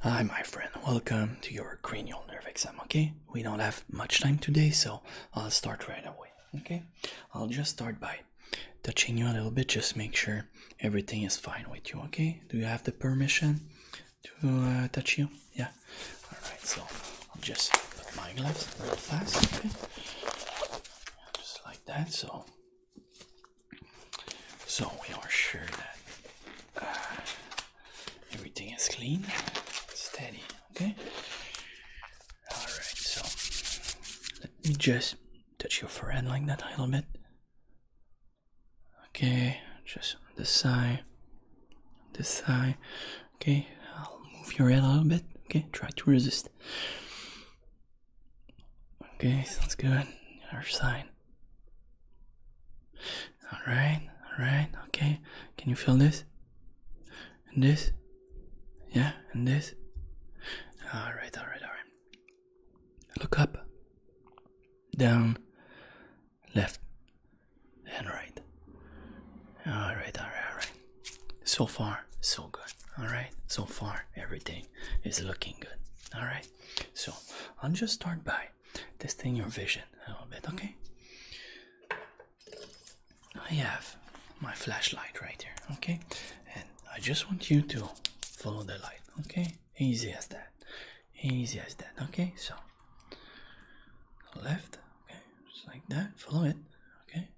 Hi, my friend. Welcome to your cranial nerve exam, okay? We don't have much time today, so I'll start right away, okay? I'll just start by touching you a little bit, just make sure everything is fine with you, okay? Do you have the permission to uh, touch you? Yeah? Alright, so I'll just put my gloves a little fast, okay? Just like that, so so we are sure that uh, everything is clean, steady, okay? Alright, so let me just touch your forehead like that a little bit. Okay, just this side, this side. Okay, I'll move your head a little bit. Okay, try to resist. Okay, sounds good. Our sign. Alright, alright, okay. Can you feel this? And this? Yeah, and this? Alright, alright, alright. Look up, down, left, and right. Alright, alright, alright. So far, so good. Alright, so far, everything everything is looking good. All right, so I'll just start by testing your vision a little bit, okay? I have my flashlight right here, okay? And I just want you to follow the light, okay? Easy as that, easy as that, okay? So left, okay, just like that, follow it, okay?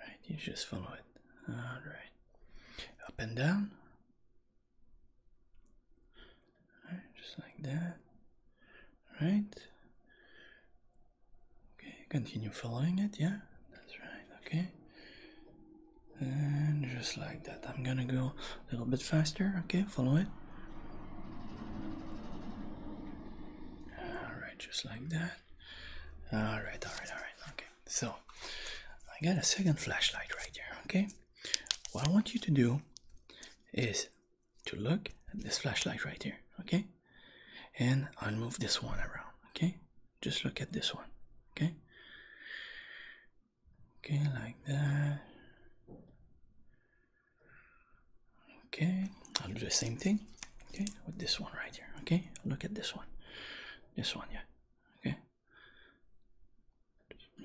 Right, you just follow it. Alright. Up and down. Alright, just like that. Right. Okay, continue following it, yeah? That's right, okay. And just like that. I'm gonna go a little bit faster, okay? Follow it all right just like that all right all right all right okay so i got a second flashlight right here okay what i want you to do is to look at this flashlight right here okay and i'll move this one around okay just look at this one okay okay like that Okay, I'll do the same thing. Okay, with this one right here. Okay, look at this one. This one, yeah. Okay.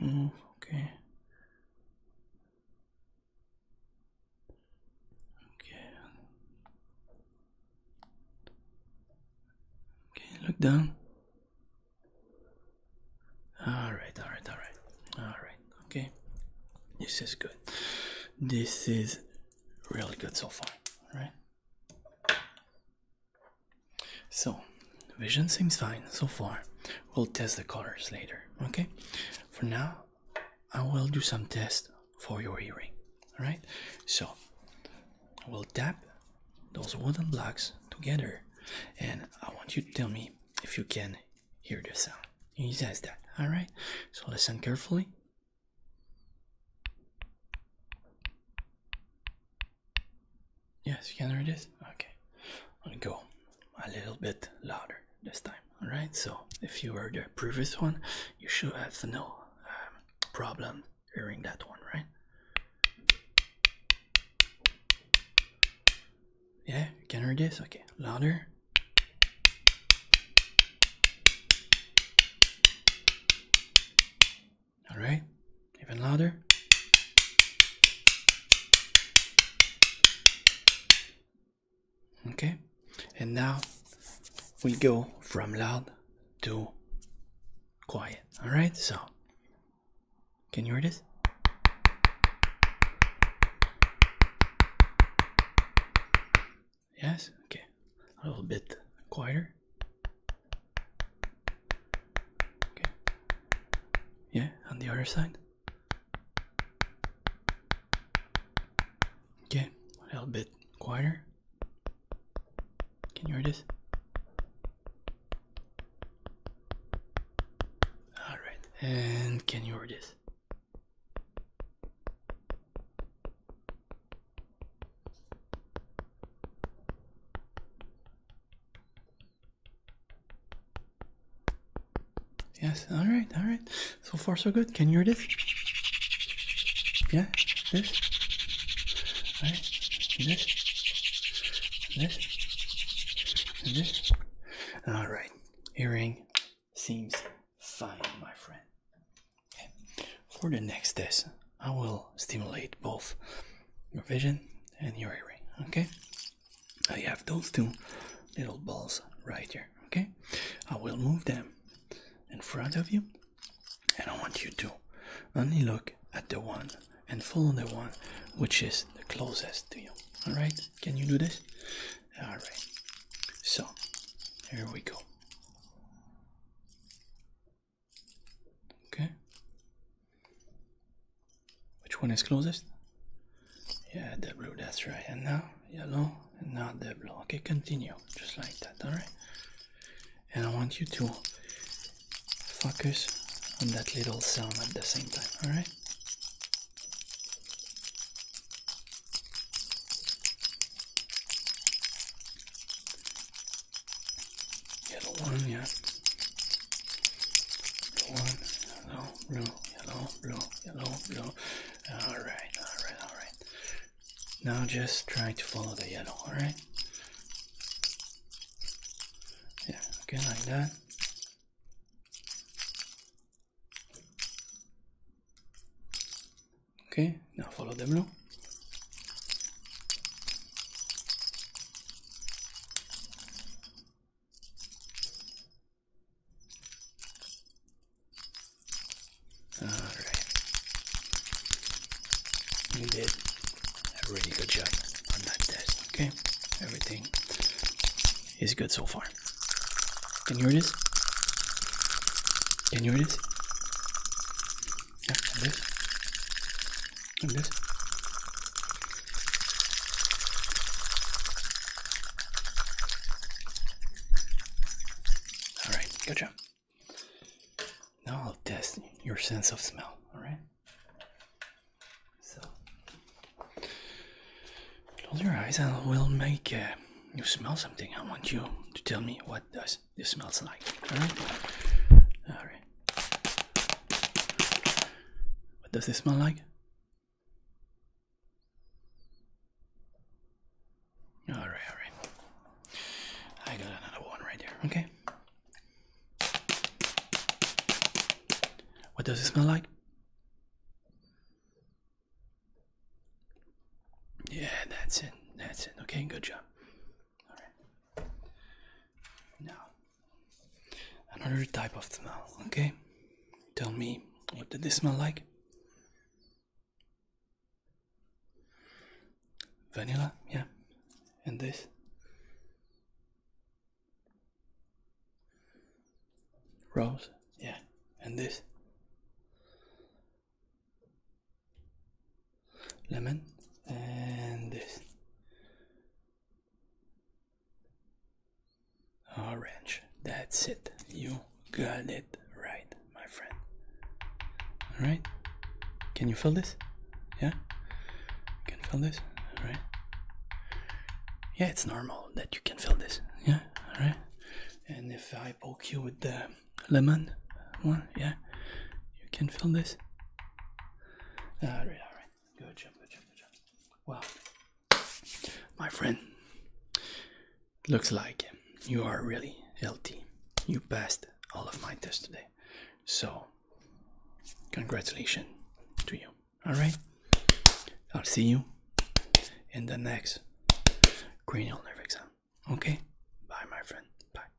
Move, okay. Okay. Okay, look down all right all right all right all right okay this is good this is really good so far All right. so vision seems fine so far we'll test the colors later okay for now i will do some tests for your hearing all right so we'll tap those wooden blocks together and i want you to tell me if you can hear the sound. He says that, alright? So listen carefully. Yes, you can hear this? Okay. I'll go a little bit louder this time, alright? So if you heard the previous one, you should have no um, problem hearing that one, right? Yeah, you can hear this? Okay, louder. Alright, even louder. Okay, and now we go from loud to quiet. Alright, so can you hear this? Yes? Okay. A little bit quieter. Okay. Yeah, on the other side. Okay, a little bit quieter. Can you hear this? Alright, and can you hear this? Yes, alright, alright. So far so good. Can you hear this? Yeah, this right? this, this, this. All right, earring seems fine, my friend. For the next test, I will stimulate both your vision and your earring. Okay, I have those two little balls right here. Okay, I will move them in front of you and I want you to only look at the one and follow the one which is the closest to you. All right, can you do this? All right, so here we go. Okay, which one is closest? Yeah, the blue, that's right. And now yellow, and now the blue. Okay, continue just like that. All right, and I want you to focus on that little sound at the same time, alright? Yellow one, yeah. yellow, blue, yellow, blue, yellow, blue. Alright, alright, alright. Now just try to follow the yellow, alright? Yeah, okay, like that. Okay, now follow the blue. All right. You did a really good job on that test, okay? Everything is good so far. Can you hear this? Can you hear this? Yeah, like this. Like this. All right, good job. Now I'll test your sense of smell. All right. So close your eyes, and we'll make uh, you smell something. I want you to tell me what does this smells like. All right. All right. What does this smell like? All right, all right. I got another one right there. Okay. What does it smell like? Yeah, that's it. That's it. Okay, good job. All right. Now, another type of smell. Okay. Tell me, what did this smell like? Vanilla, yeah. And this? Rose, yeah. And this? Lemon, and this. Orange. That's it. You got it right, my friend. Alright? Can you feel this? Yeah? You can feel this? Alright? Yeah, it's normal that you can feel this. Yeah? Alright? And if I poke you with the lemon one, yeah? You can feel this? Alright, alright. Good job, good job, good job. Wow. My friend, looks like you are really healthy. You passed all of my tests today. So, congratulations to you. Alright? I'll see you in the next cranial nerve exam. Okay? Bye, my friend. Bye.